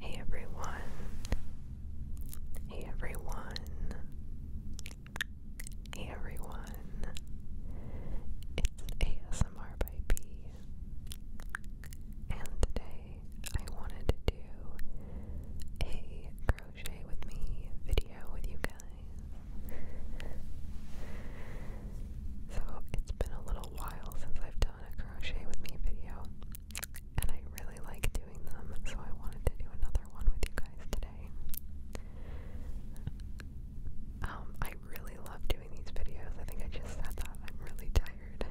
Hey everyone. Hey everyone. Hey everyone. It's ASMR by B. And today I wanted to do a crochet with me video with you guys. So it's been a little while since I've done a crochet with me video, and I really like doing them, so I wanted to do another one with you guys today. Um, I really love doing these videos. I think I just said that. I'm really tired.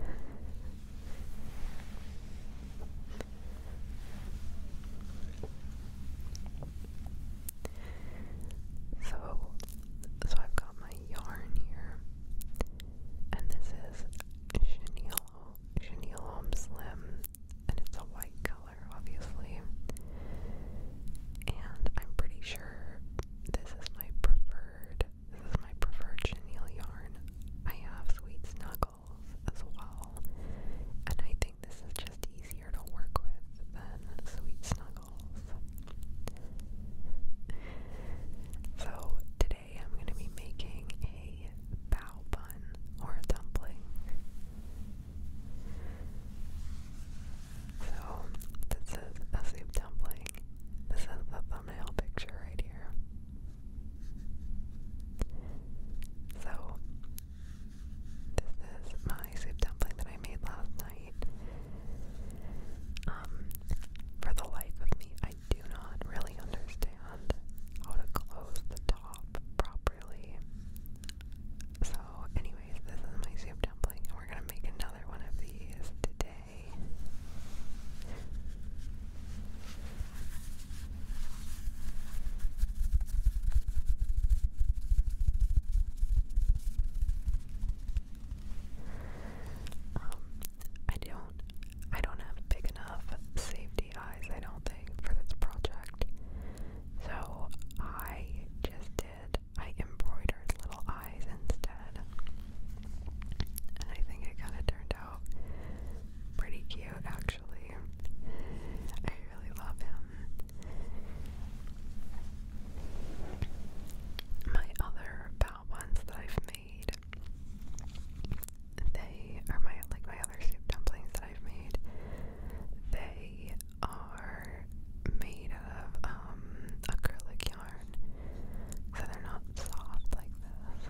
So, so I've got my yarn here, and this is Chenille, Chenille Home Slim, and it's a white color, obviously. And I'm pretty sure this is my preferred, this is my preferred chenille yarn. I have Sweet Snuggles as well, and I think this is just easier to work with than Sweet Snuggles. So today I'm going to be making a bow bun or a dumpling. So this is a soup dumpling. This is the thumbnail picture right here. So this is my soup dumpling that I made last night. Um, for the life of me, I do not really understand how to close the top properly. So, anyways, this is my soup dumpling, and we're gonna make another one of these today. Um, I don't I don't have big enough safety eyes, I don't think, for this project. So I just did I embroidered little eyes instead. And I think it kinda turned out pretty cute actually. I really love him. My other ones that I've made, they are my like my other soup dumplings that I've made. They are made of um, acrylic yarn, so they're not soft like this.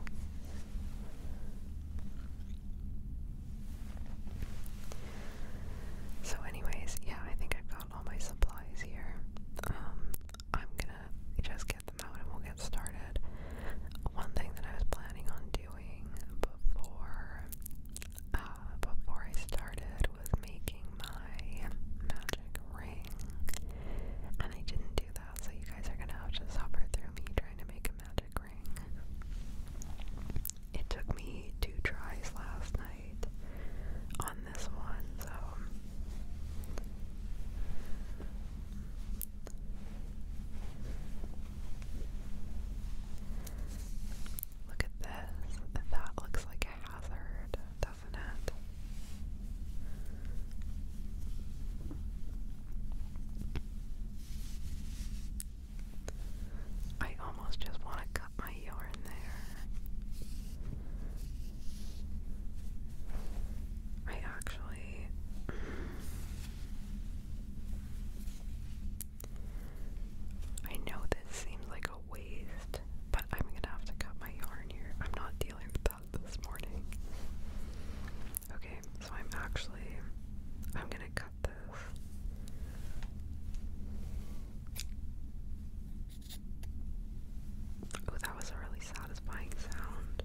So, anyways, yeah, I think I've got all my supplies here. Um, I'm gonna just get them out and we'll get started. One thing that I was planning on doing before uh, before I started was making my magic ring, and I didn't do that. So you guys are gonna have to suffer through me trying to make a magic ring. It took me two tries last night this one, look at this. That looks like a hazard, doesn't it? I almost just want to cut my yarn there. I actually I know this seems like a waste, but I'm gonna have to cut my yarn here. I'm not dealing with that this morning. Okay, so I'm actually I'm gonna cut this. Ooh, that was a really satisfying sound.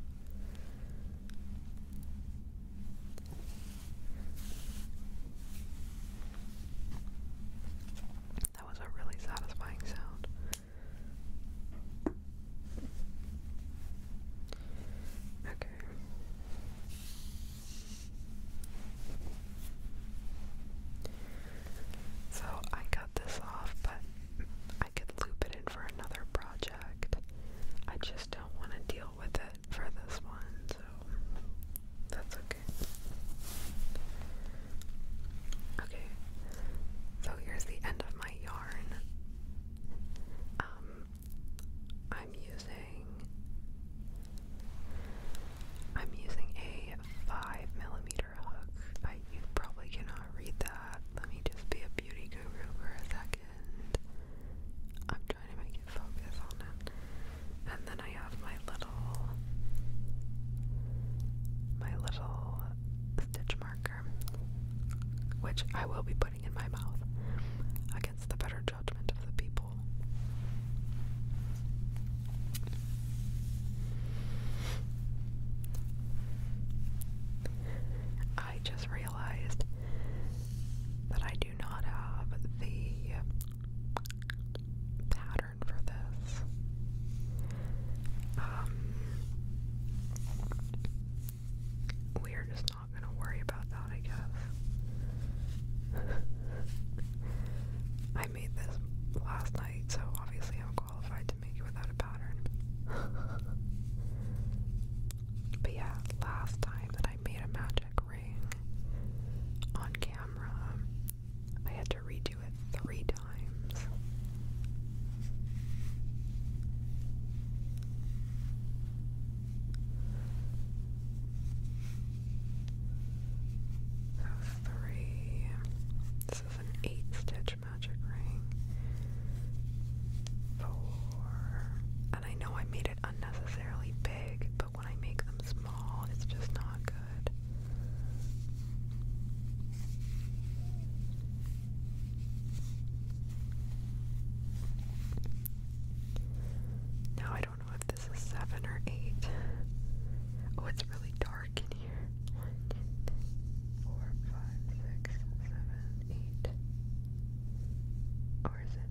That was a really satisfying sound. Okay. So I this off, but I could loop it in for another project. I just don't want to deal with it for this one, so that's okay. Okay, so here's the end of my yarn. Um, I'm using I'm using a five millimeter you probably cannot read that. Let me just be a beauty guru for a second. I'm trying to make it focus on it. And then I have my little, my little stitch marker, which I will be putting in my mouth against the better judgment of the people. I just realized that I do not have the pattern for this. Um, we're just not going to worry about that, I guess. I made this last night, so obviously I'm qualified to make it without a pattern. but yeah, last time that I made a magic ring on camera, I had to redo it three times. So three. This is an eight stitch Magic Ring. Four. And I know I made it unnecessarily big, but when I make them small, it's just not good. Now I don't know if this is seven or eight. Oh, it's really dark work here. One, two, three, four, five, six, seven, eight. Or is it?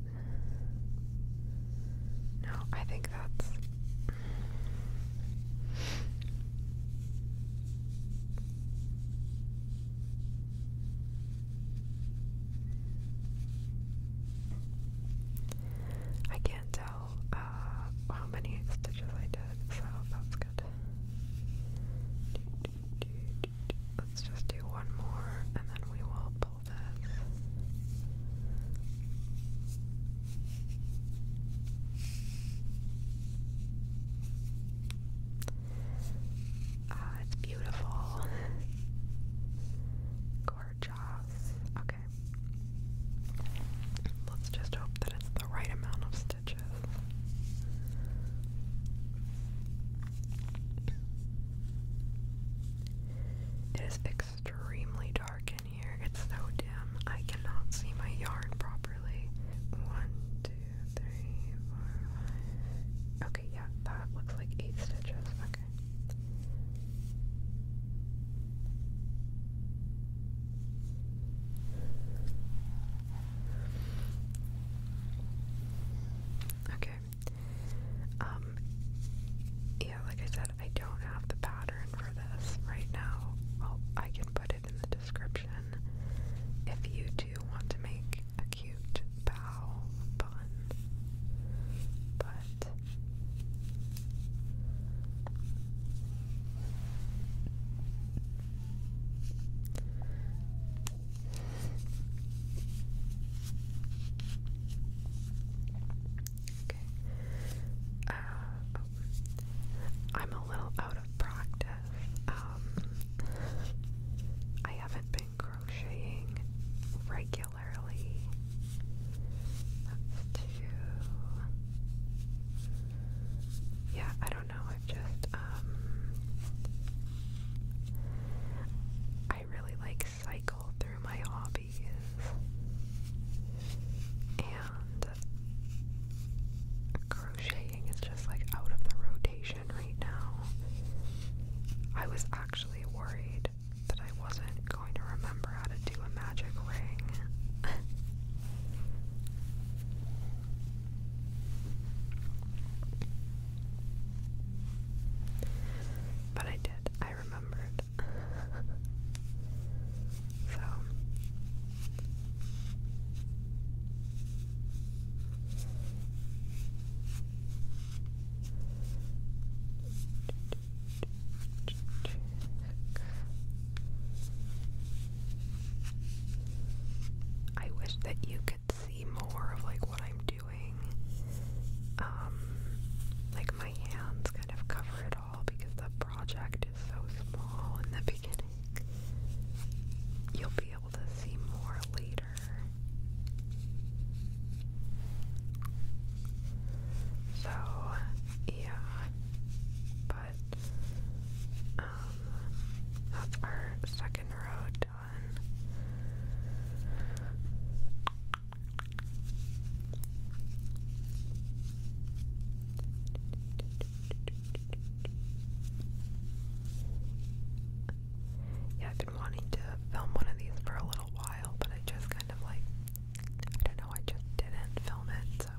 No, I think that's. I can't tell tell uh, how many stitches I did, so that's good. Let's just do one more and then we will pull this. Ah, uh, it's beautiful. Gorgeous. Okay, Let's just hope that it's the right amount of stitches. It is extremely dark in here. It's so dim. I cannot see my yarn properly. One, two, three, four, five. Okay, yeah, that looks like eight stitches. Okay. Okay. Um yeah, like I said, I don't have the pattern for this right now. Well, I can put it in the description if you do want to make a cute bow bun. But uh, I'm a little out of practice. Um, I haven't been crocheting regularly. That's yeah, I don't know. i just, um, I really like cycle through my hobbies. And crocheting is just like out of the rotation right now. I was actually worried that I wasn't going to remember how to do a magic ring. but I did, I remembered. so. I wish that you could see more of like what I'm doing. Um like my hands kind of cover it all because the project is so small in the beginning. You'll be able to see more later. So, yeah. Um, that's our second row done. Yeah, I've been wanting to film one of these for a little while, but I just kind of like, I don't know, I just didn't film it so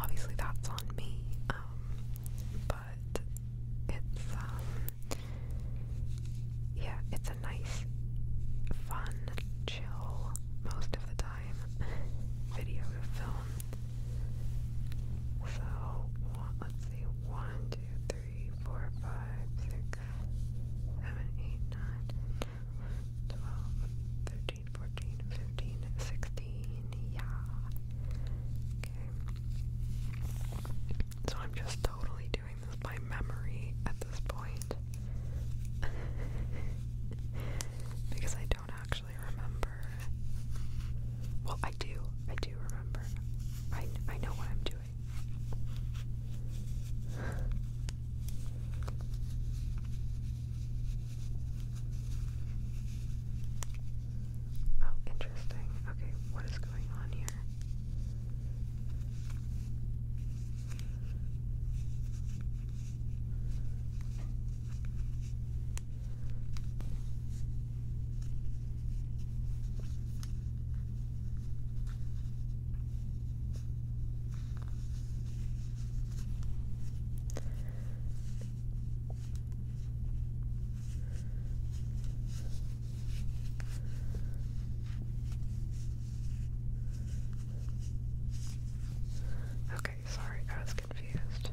obviously that's on me. Um, but it's um, yeah, it's a nice, fun, chill most of the time video to film. So let's see, one, two, three, four, five, six, seven, eight, nine, ten, 13, Yeah. Okay. So I'm just totally doing this by memory at this point. because I don't actually remember. Well, I do. I do remember. I, I know what I'm doing. Oh, interesting. Okay, what is going on here? Okay, sorry, I was confused.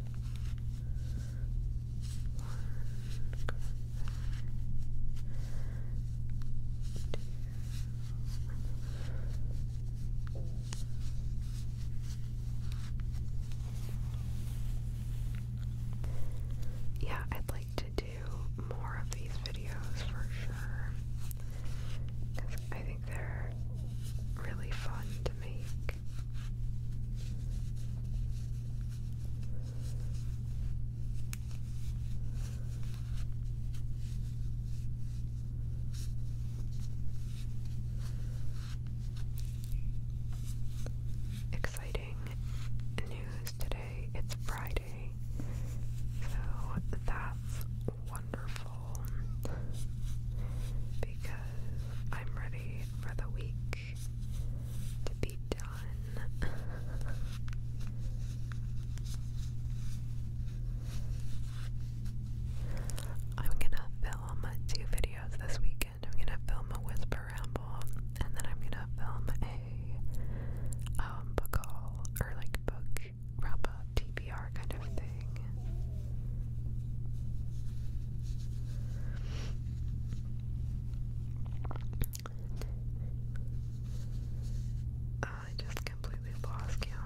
Yeah, I'd like to do more of these videos for sure. I think they're really fun to make. Exciting news today. It's Friday. So that's wonderful because I'm ready for the week to be done. I'm gonna film film two videos this weekend. I'm gonna film a whisper ramble, and then I'm gonna film a um, book haul or like book wrap up TBR kind of thing. I just completely lost count.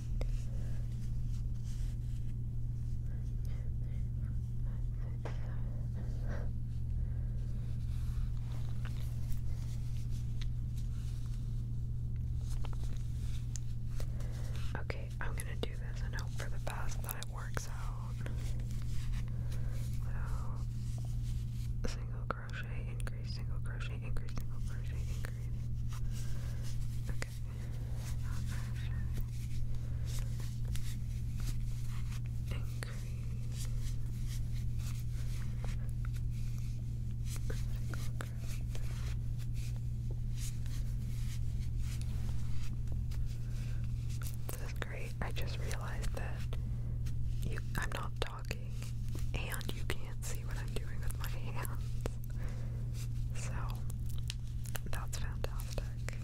Okay, I'm gonna do this and hope for the best that it works out without single crochet in increase, single crochet, increase, single crochet, increase. Okay. Increase. This is great. I just realized that I'm not talking and you can't see what I'm doing with my hands. So that's fantastic.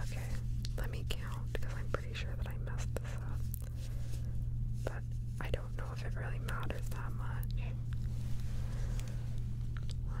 Okay, let me count because I'm pretty sure that I messed this up. But I don't know if it really matters that much. 1,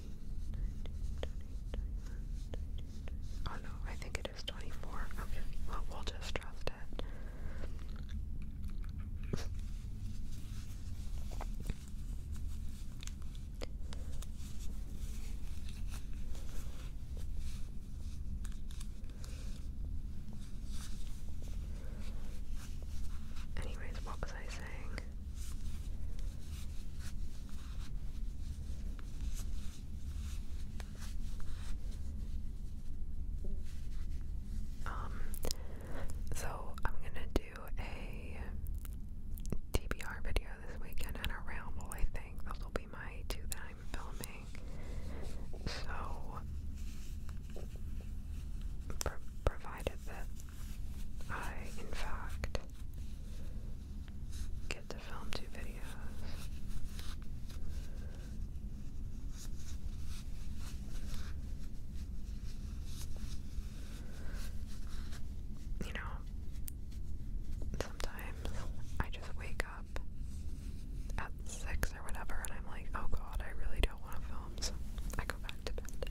Oh no, I think it is 24. Okay, well, we'll just trust it. Anyways, what was I saying? Um, so I'm gonna do a TBR video this weekend and a ramble, I think. Those will be my two that I'm filming. So, provided that I, in fact, get to film two videos. You know, sometimes I just wake up at six or whatever and I'm like, oh god, I really don't want to film, so I go back to bed.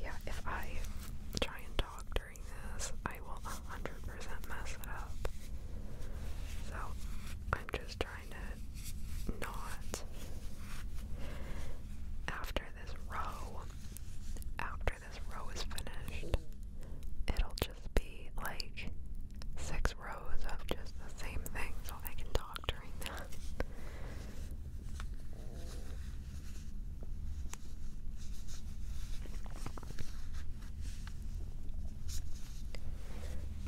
Yeah, if I try and talk during this, I will 100% mess it up. So, I'm just trying kind of not after this row after this row is finished it'll just be like six rows of just the same thing so I can talk during that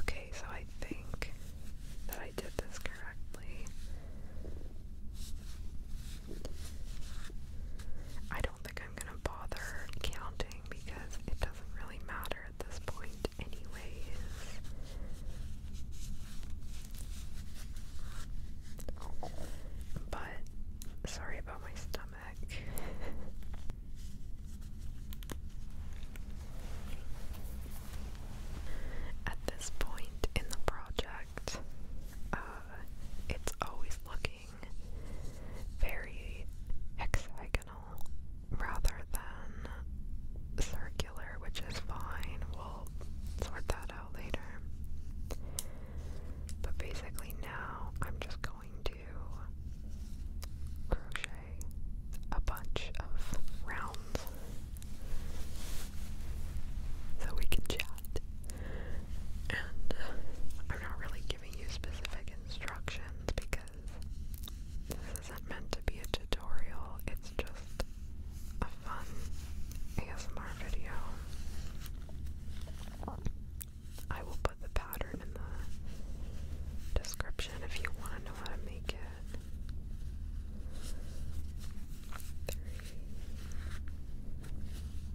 Okay, so I think that I did this correctly. I don't think I'm gonna bother counting because it doesn't really matter at this point, anyways. But sorry about my stomach. At this point in the project, um, it's always looking very hexagonal rather than circular, which is fine. We'll sort that out later. But basically, now I'm just going to crochet a bunch of rounds so we can chat. And uh, I'm not really giving you specific instructions because this isn't meant to be a tutorial, it's just a fun ASMR video. I will put the pattern in the description if you want to know how to make it.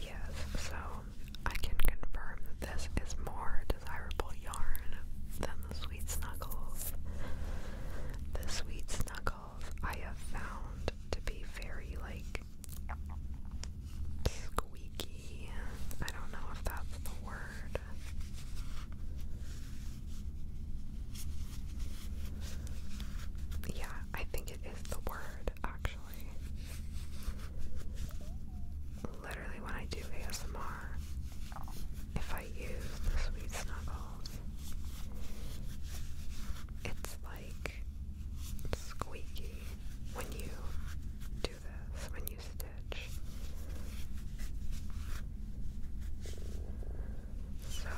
Yes, so I can confirm that this is more desirable yarn than the Sweet Snuggles. The Sweet Snuggles I have found to be very like Squeaky. I don't know if that's the word. Yeah, I think it is the word actually. Literally, when I do ASMR, if I use the Sweet Snuggles, it's squeaky when you do this, when you stitch. So,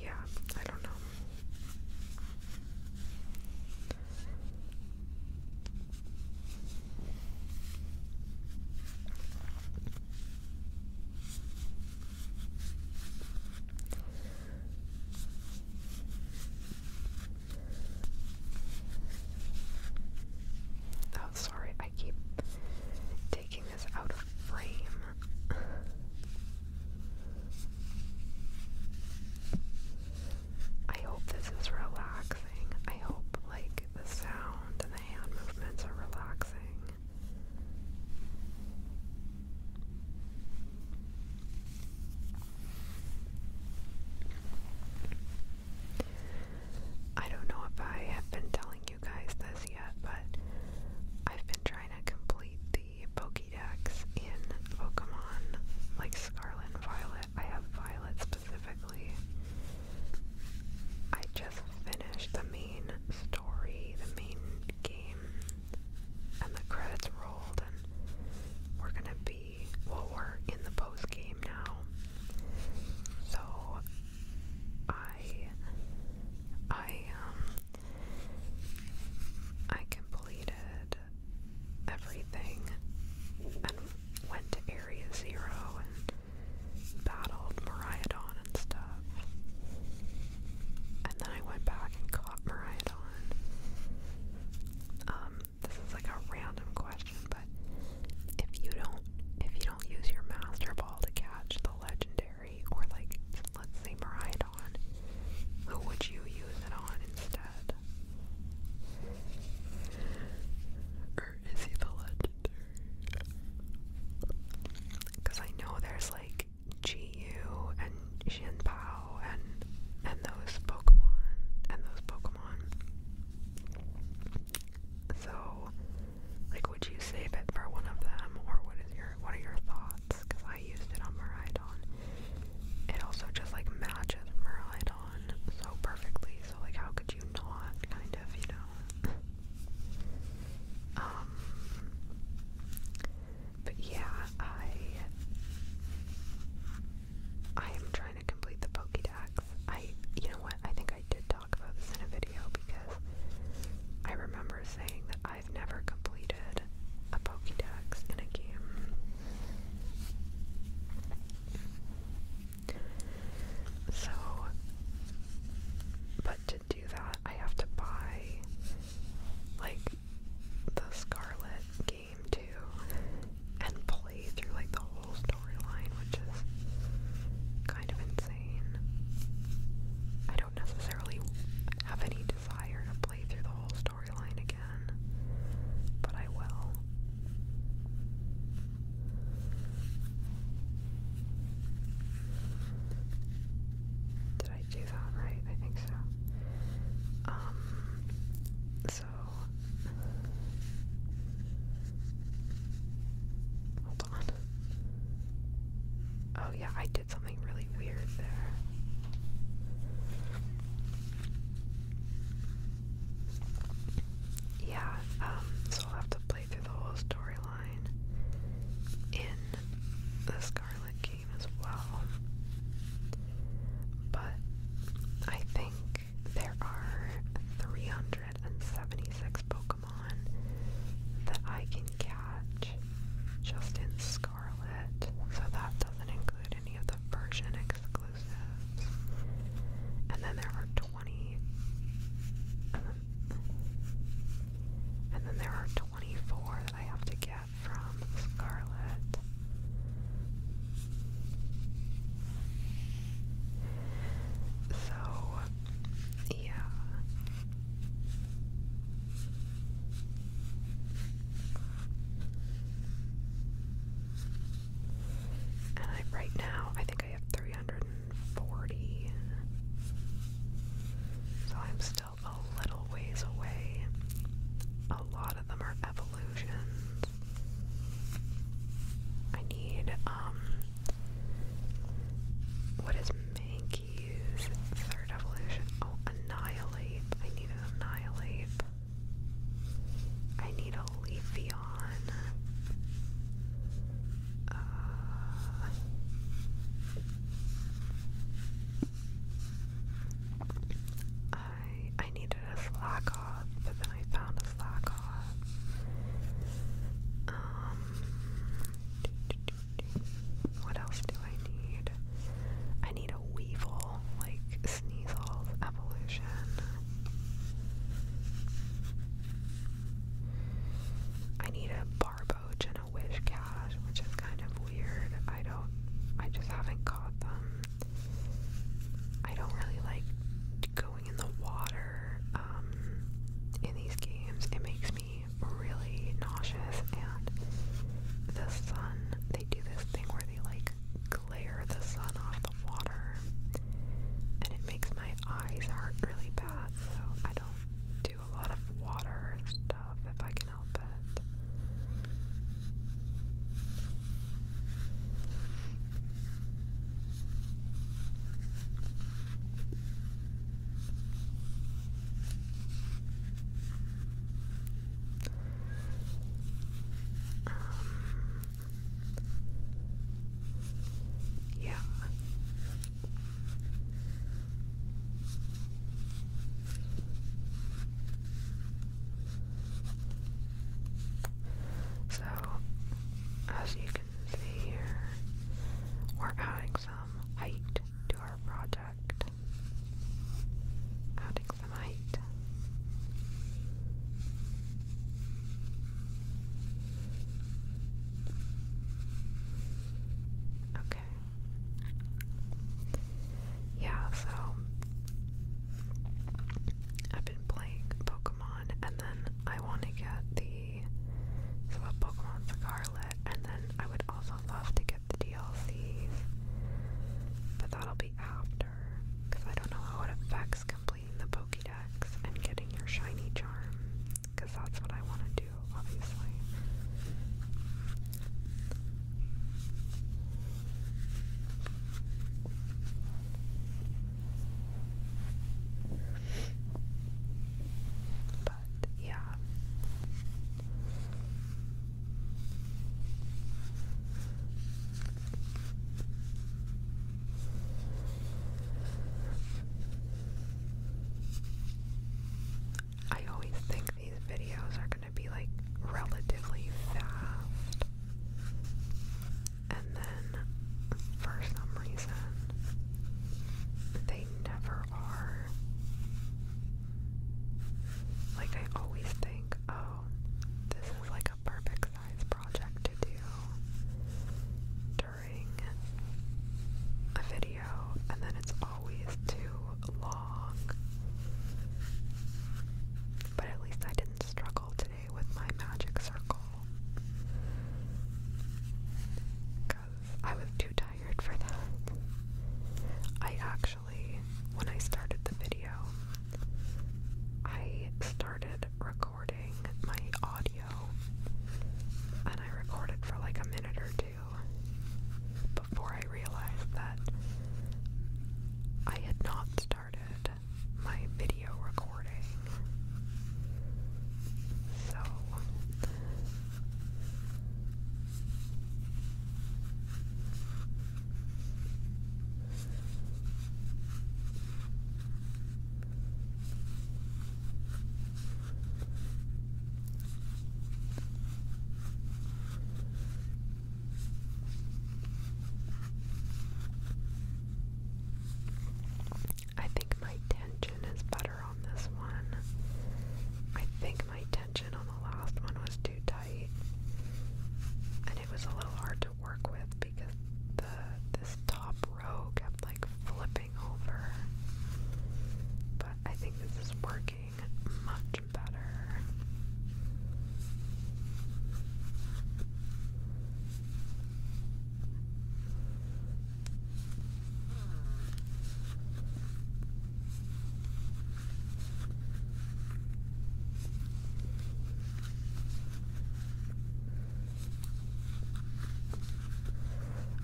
yeah, I don't know. Oh, sorry, I keep taking this out of frame. I hope this is relaxing. I hope, like, the sound and the hand movements are relaxing. I don't know if I have been telling you guys this yet, but I've been trying to complete the Pokédex in Pokemon, like Scarlet Violet. I have Violet specifically. I just finished the main story, the main and the credits rolled and we're gonna be well we're in the post game now so I I um I completed everything and went to Area Zero and battled Mariah Mariadon stuff. And then I went back and caught Mariah Um, this is like a random question, but if you don't if you don't use your master ball to catch the legendary or like let's say Mariah who would you use it on instead? Or is he the legendary? Because I know there's like Chiyu and Shinpao and and those Pokemon and those Pokemon. So, like, would you save it for one of them, or what is your what are your thoughts? Because I used it on Maridon. It also just like matches Maridon so perfectly. So, like, how could you not? Kind of, you know. Um, but yeah, I I am trying to complete the Pokédex. I, you know what? I think I did talk about this in a video because I remember saying that I've never completed a Pokédex in a game. So, but to do that, I have to buy like the Scarlet game too and play through like the whole storyline, which is kind of insane. I don't necessarily have any desire to play through the whole storyline again, but I will. I do that right? I think so. Um, so. Hold on. Oh, yeah, I did something really weird there. Yeah, um, so I'll have to play through the whole story in the Scarlet game as well. But I think there are 376 Pokemon that I can catch just in Scarlet, so that doesn't include any of the version exclusives. And then there are 20. and then there are 24 that I have to get from Scarlet. So, yeah. And right now, I think I have 340. So I'm still a little ways away. A lot of them are evolutions. I need, um, what is Mankey's third evolution? Oh, Annihilate. I need an Annihilate. I need a Leafeon. Uh, I I needed a slack but then I found a slack Um, what else do I need? I need a weevil, like Sneasel's evolution. I need a bar and a wish cash, which is kind of weird. I don't, I just haven't caught them. I don't really like going in the water um, in these games. It makes me really nauseous. And the sun, they do this thing where they like glare the sun off the water, and it makes my eyes hurt really bad. So I don't a lot of water stuff if I can help it. Um, yeah, so, as you can see here, we're adding some height to our project. Adding some height. Okay, Okay. Yeah, so I've been playing Pokemon and then I want to get the so a Pokemon Scarlet and then I would also love to get the DLCs. But that'll be after because I don't know how it affects completing the Pokédex and getting your shiny charm because that's what I want to do, obviously. But yeah. I always think these videos are gonna be like relatively fast, and then for some reason they never are. Like, I always think, oh, this is like a perfect size project to do a video and then it's always too long. But at least I didn't struggle today with my magic circle. Because I was too tired for that. I actually, when I started the video, I started recording my audio and I recorded for like a minute or two before I realized that I had not started my video recording. So I think my tension is better on this one. I think my tension on the last one was too tight. And it was a little hard to work with because the this top row kept like flipping but I think this is working much better.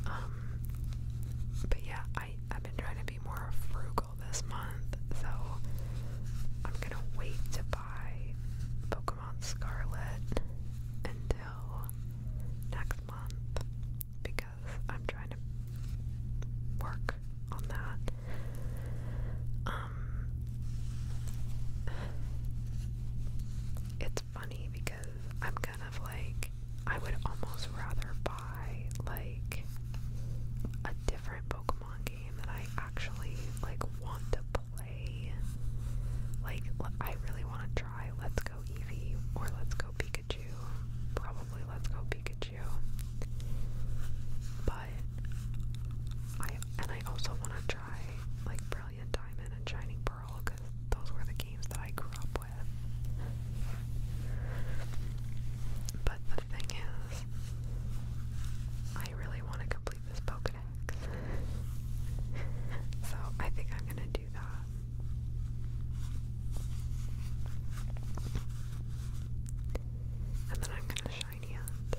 Um, um, but yeah, I I've been trying to be more frugal this month, so I'm gonna wait to buy Pokemon Scarlet until next month because I'm trying to work on that. Um, it's funny because I'm of like I would almost rather buy like a different Pokemon game that I actually like want to play. Like I really want to try Let's Go Eevee or Let's Go Pikachu. Probably Let's Go Pikachu. But I and I also want to try like Brilliant Diamond and Shining Pearl because those were the games that I grew up with. But the thing is, I really want to complete this Pokedex. so I think I'm going to do that. And then I'm gonna shiny hunt.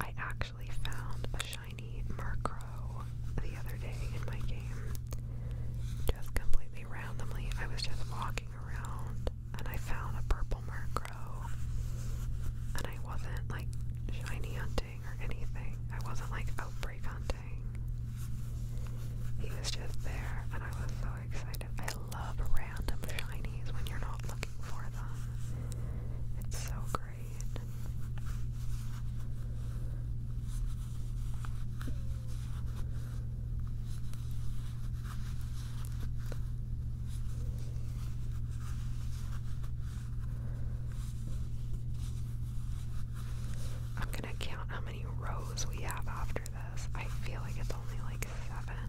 I actually found a shiny Murkrow Pro the other day in my game. Just completely randomly, I was just walking around and I found a purple Murkrow. And I wasn't like shiny hunting or anything. I wasn't like outbreak hunting. He was just there and I was so excited. I love random shinies when you're not looking for them. It's so great. I'm gonna count how many rows we have after this. I feel like it's only like seven.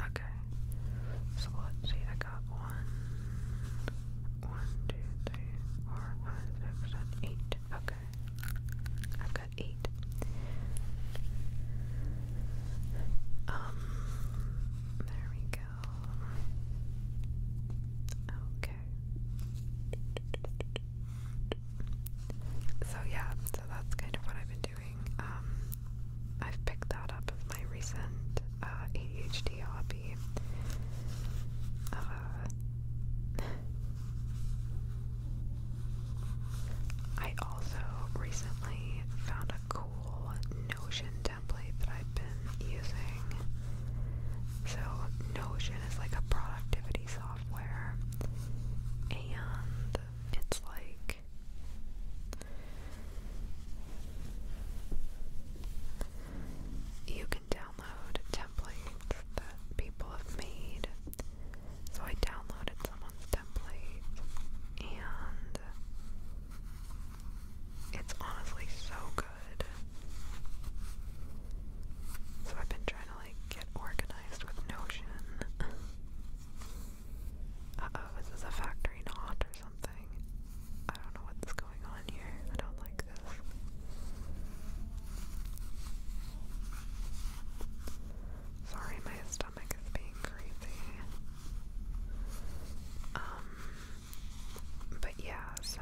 Okay, so let's see, I got one, one, two, three, four, five, six, seven, eight. Okay, I eight. Um, there we go. Okay. So yeah, so that's kind of what I've been doing. Um, I've picked that up as my recent uh, ADHD hobby. Uh, I also recently found a cool Notion template that I've been using. So, Notion is like a productivity software, and it's like you can download templates that people have made so I downloaded someone's template and it's honestly so good. So I've been trying to like get organized with Notion. Uh oh, is this a factory knot or something? I don't know what's going on here. I don't like this. Sorry, my stomach is being crazy. Um, but yeah, so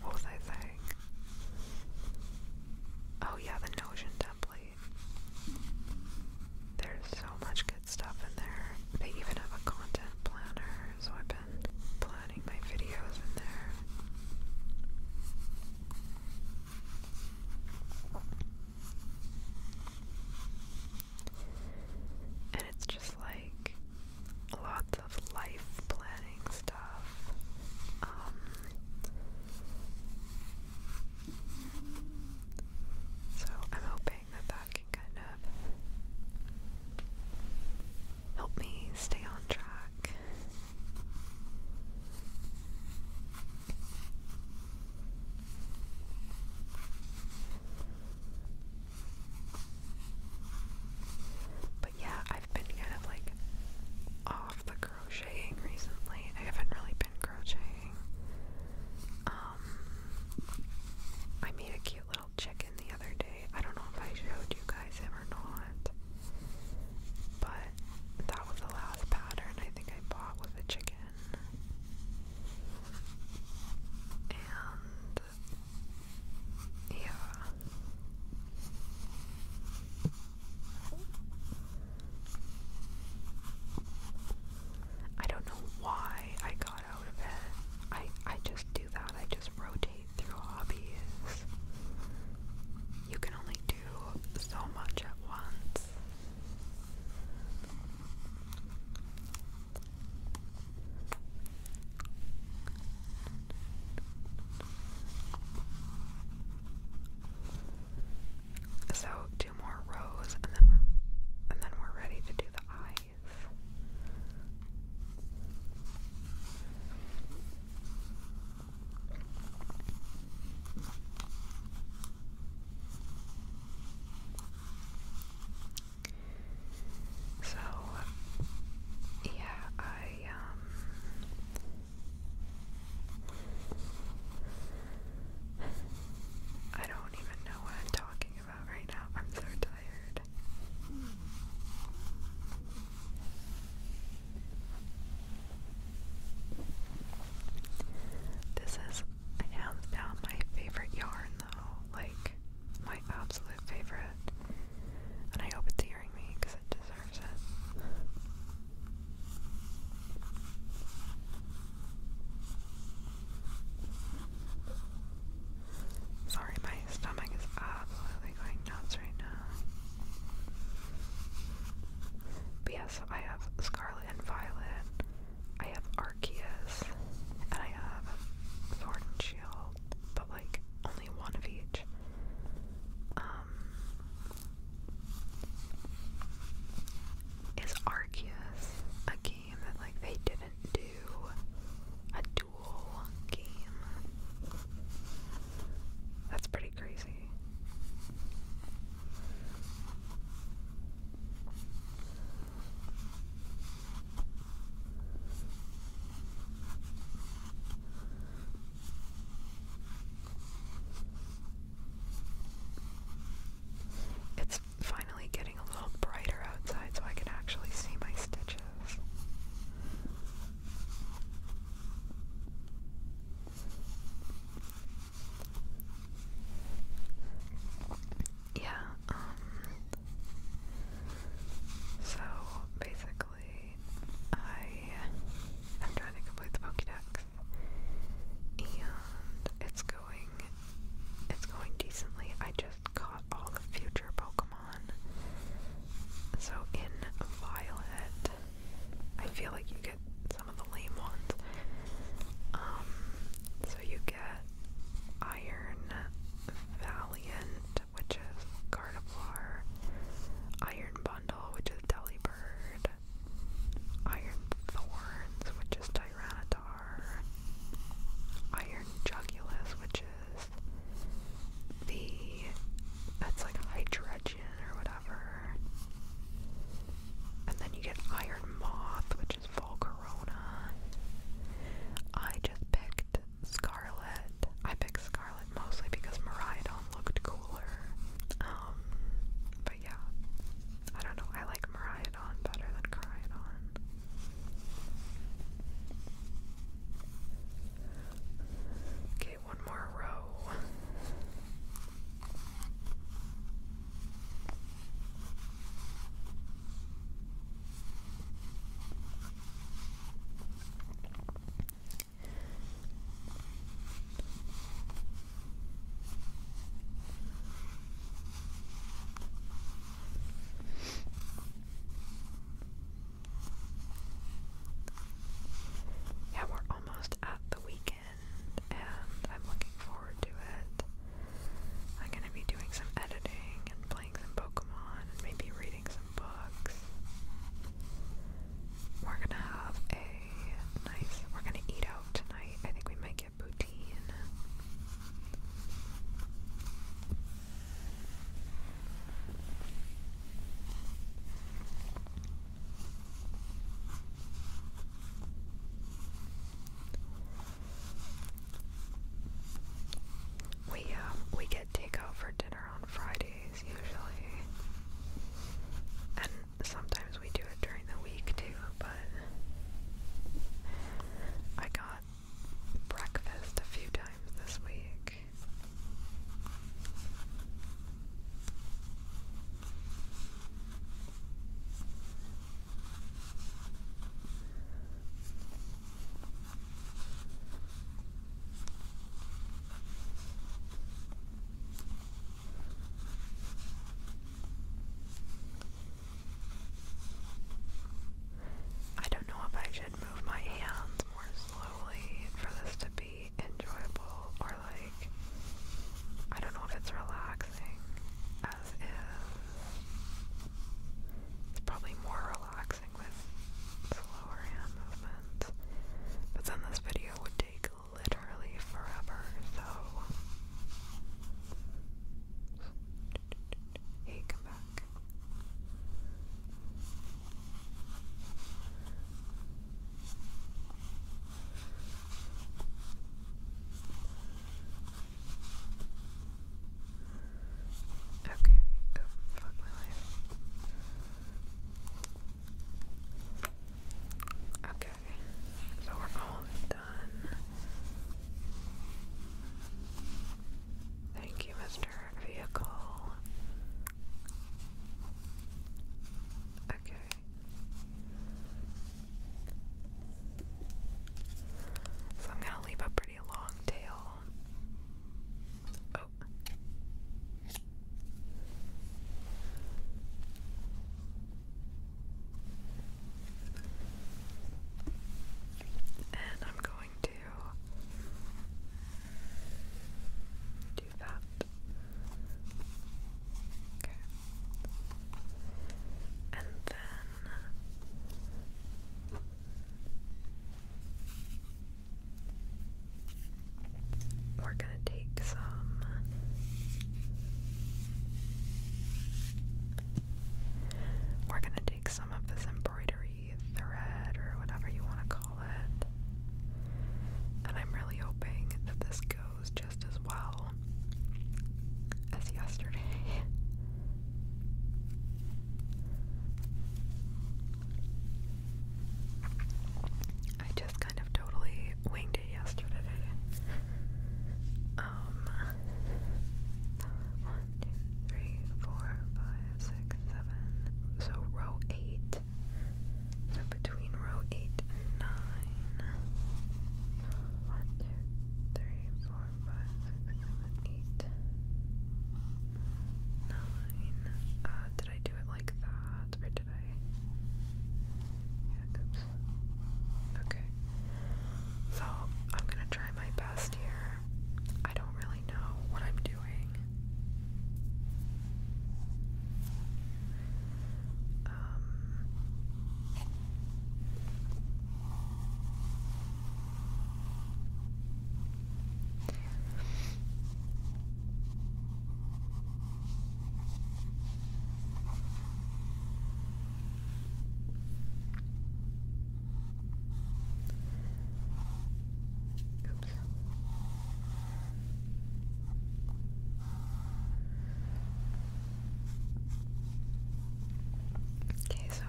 what was I saying? Oh, yeah, the Notion template. There's so much good stuff in there. They even have a content planner, so I've been planning my videos in there. And it's just like lots of life planning stuff. Um, so I'm hoping that that can kind of help me stay on track. But yeah, I've been kind of like off the crocheting recently. I haven't really been crocheting. Um, I made a cute little chicken the other day. I don't know if I showed you guys him or not, but that was the last pattern I think I bought was a chicken. And yeah. I don't know why I got out of it. I I just do that. I just rotate through hobbies. You can only do so much at once. So two more rows, and then and then we're ready to do the eyes. So, yeah, I, um, I don't even know what I'm talking about right now. I'm so tired. Hmm. This is hands down my favorite yarn though, like my absolute favorite. And I hope it's hearing me because it deserves it. Sorry, my stomach is absolutely going nuts right now. But I have Scarlet and Violet. I have Arceus, and I have Sword and Shield, but like only one of each. Um, is Arceus a game that like they didn't do a dual game? That's pretty crazy. It's finally getting a little brighter outside so I can actually see my stitches. Yeah, um, so basically, I am trying to complete the Pokedex, and it's going, it's going decently. I just caught all the future Pokemon. So in Violet, I feel like you get some of the lame ones. Um, so you get Iron Valiant, which is Gardevoir, Iron Bundle, which is Delibird, Iron Thorns, which is Tyranitar, Iron Jugulus, which is the that's like Hydra or whatever. And then you get Iron Moth, which is Volcarona. I just picked Scarlet. I picked Scarlet mostly because Maridon looked cooler. Um, but yeah. I don't know, I like Maridon better than Caridon. Okay, one more row. Yeah, we're almost at the weekend and I'm looking forward to it. I'm gonna be doing some editing and playing some Pokemon and maybe reading some books. We're gonna have a nice, we're gonna eat out tonight. I think we might get poutine. We um, we get takeout for dinner on Fridays usually, and sometimes we do it during the week too. But I got breakfast a few times this week. I don't know if I should move my hands more slowly for this to be enjoyable or like I don't know if it's relaxing as is. It's probably more relaxing with slower hand movements. But then this video would take literally forever, so hey, come back. Okay, oh, fuck my life. Okay, so we're almost done. Thank you, Mr. Vehicle. Okay, so I'm gonna leave a pretty long tail. Oh. And I'm going to that. Okay. And then we're going to take some we're going to take some of this embroidery thread or whatever you want to call it. And I'm really hoping that this goes just as well as yesterday. I just kind of totally winged it yesterday. Um, one, two, three, four, five, six, seven. So row eight so between row 8 and 9. did I do it like that? Or did I? Yeah, oops. Okay. So I'm gonna try my best here. I don't really know what I'm doing. Um, oops. Okay, so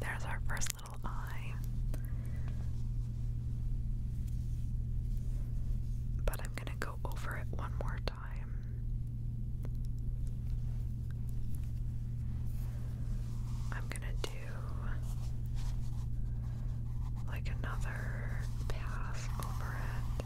there's our first little eye. But I'm going to go over it one more time. I'm going to do like another pass over it.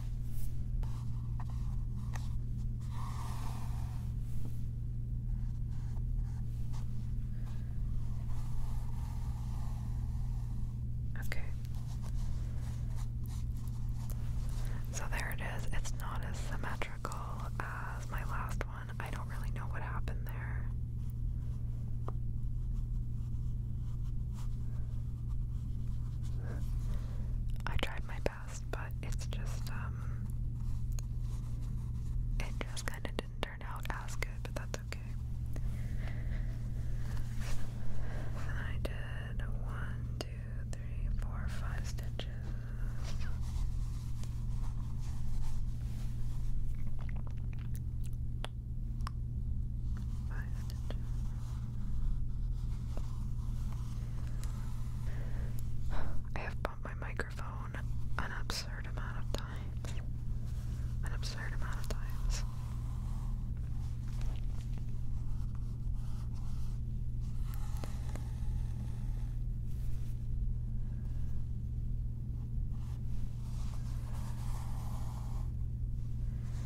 Okay. So there it is. It's not as symmetrical as my last one. I don't really know what happened there. I tried my best, but it's just, um, it just kind of didn't turn out as good, but that's okay. I did one, two, three, four, five stitches. I have bumped my microphone an absurd amount of times. An absurd amount of times.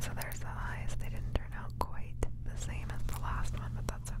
so there's the eyes. They didn't turn out quite the same as the last one, but that's okay.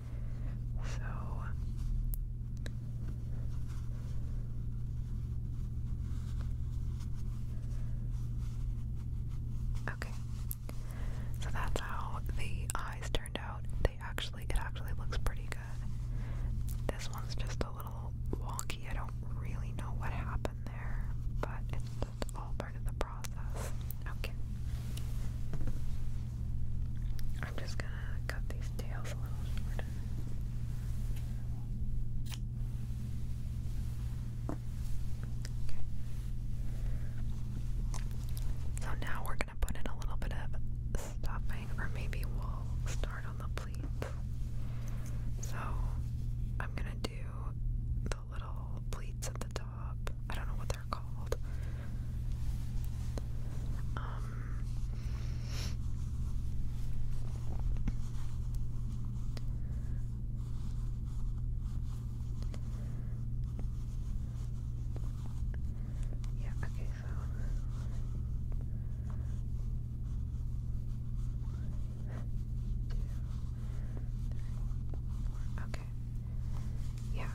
so Okay. So that's how the eyes turned out. They actually it actually looks pretty good. This one's just a little wonky. I don't really know what happened there, but it's all part of the process. Okay. I'm just gonna cut these tails a little shorter. So now we're gonna put in a little bit of stuffing, or maybe we'll start on the pleats. So I'm gonna do the little pleats at the top. I don't know what they're they're called. Um, yeah, okay, so Two, three, four. Okay. Yeah.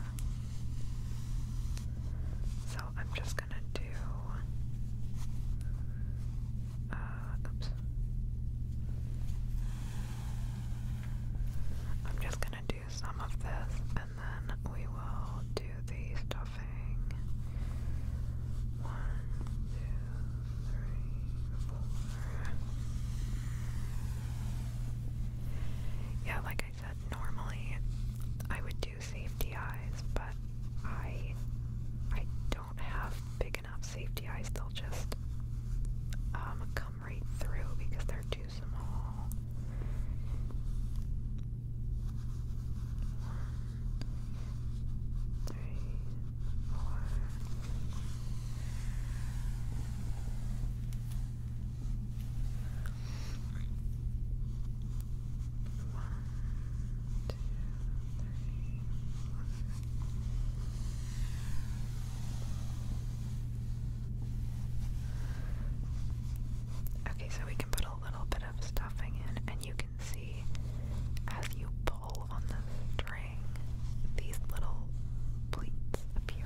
So I'm just gonna do. Uh, I'm just gonna do some of this and then we will do the stuffing. One, two, three, four. Yeah, like I normally I would do safety eyes, but I I don't have big enough safety eyes. They'll just um, come right through because they're too small. One, three, four. Okay, so we can put a little bit of stuffing in, and you can see as you pull on the string, these little pleats appear.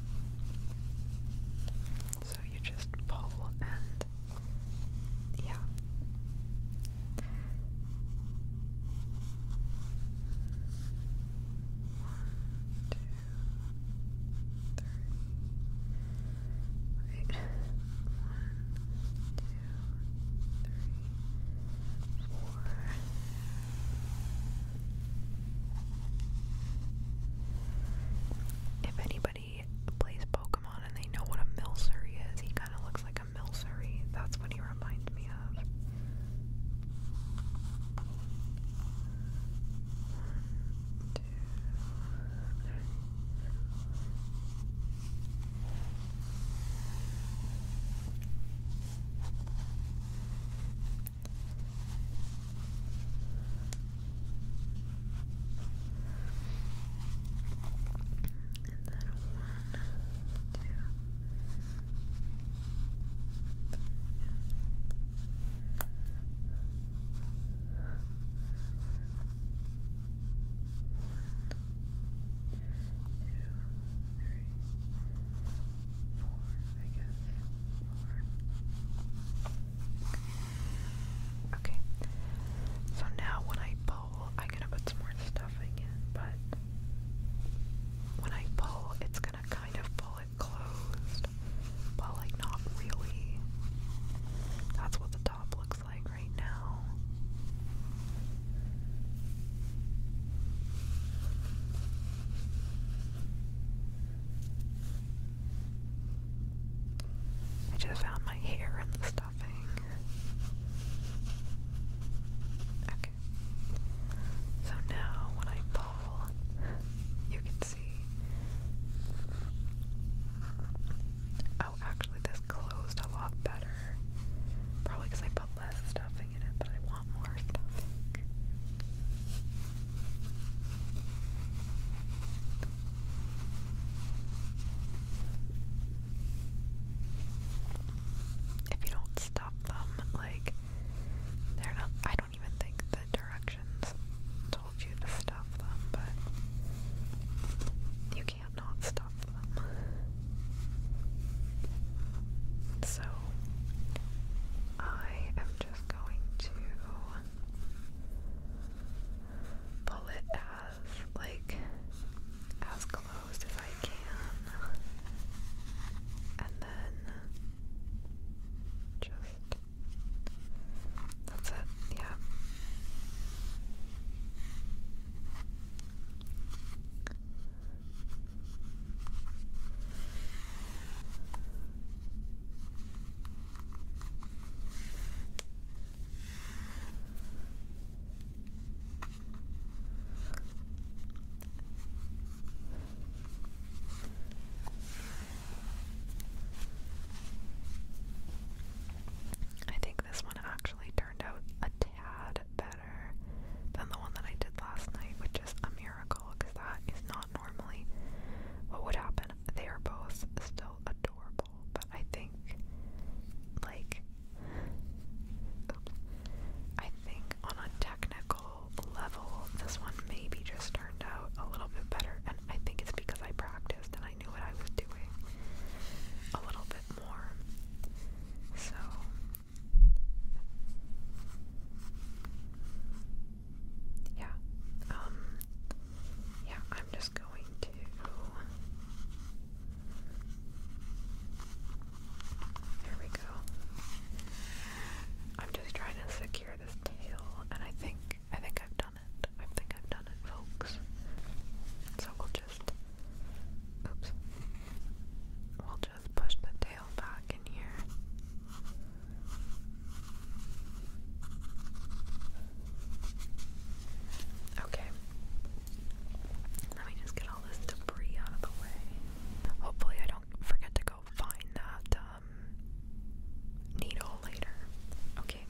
So you just pull and yeah. One, two, three. Wait. One, two, three, four, five, if anybody plays Pokemon and they know what a Milcery is, he kind of looks like a Milcery. That's what he reminds me of. And then one, two, three, one, two, three, four, I guess. Okay. So now when I pull, I'm gonna put some more stuff again, but when I pull, it's gonna kind of pull it closed, but like not really. That's what the top looks like right now. I just found my hair in the stuffing. Okay. So now when I pull, you can see. Oh, actually, this closed a lot better. Probably because I put less stuffing in it, but I want more stuffing. If you don't stop them, like they're not I don't even think the directions told you to stop them, but you can't not stop them. So I am just just going to pull it as like as close as I can and then just that's it, yeah. I think this one actually turned out a tad better than the one that I did last night, which is a mirror because that is not normally what would happen. They are both still adorable, but I think, like, I think on a technical level, this one maybe just turned out a little bit better, and I think it's because I practiced and I knew what I was doing a little bit more. So yeah, um, yeah, I'm just going to. There we go. I'm just trying to secure this tail, and I think I think I've done it. I think I've done it, folks. So we'll just, oops, we'll just push the tail back in here. Okay. Let me just get all this debris out of the way. Hopefully, I don't forget to go find that um, needle later. Okay.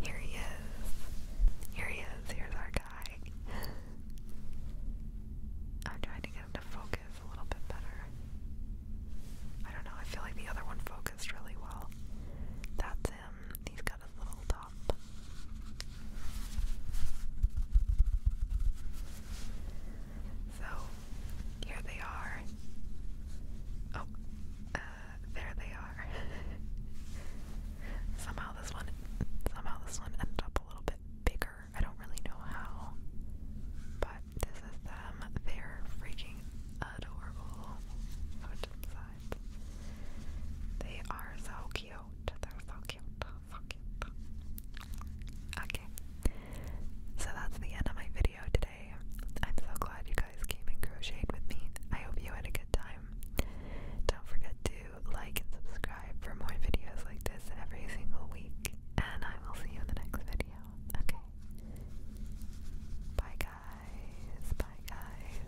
Here he is. Here he is. Here's our guy. I'm trying to get him to focus a little bit better. I don't know, I feel like the other one focused really well. That's him. He's got his little top. So, here they are. Oh, uh, there they are. somehow this one, somehow this one ended up a little bit bigger I don't really know how, but this is them. They're freaking adorable. They are so cute. They're so cute. So cute. Okay. So that's the end of my video today. I'm so glad you guys came and crocheted with me. I hope you had a good time. Don't forget to like and subscribe for more videos like this every single week. And I will see you in the next video video. Okay. Bye guys. Bye guys.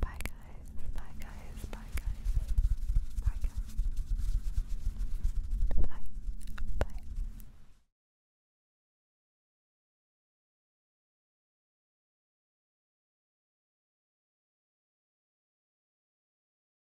Bye guys. Bye guys. Bye guys. Bye. Bye.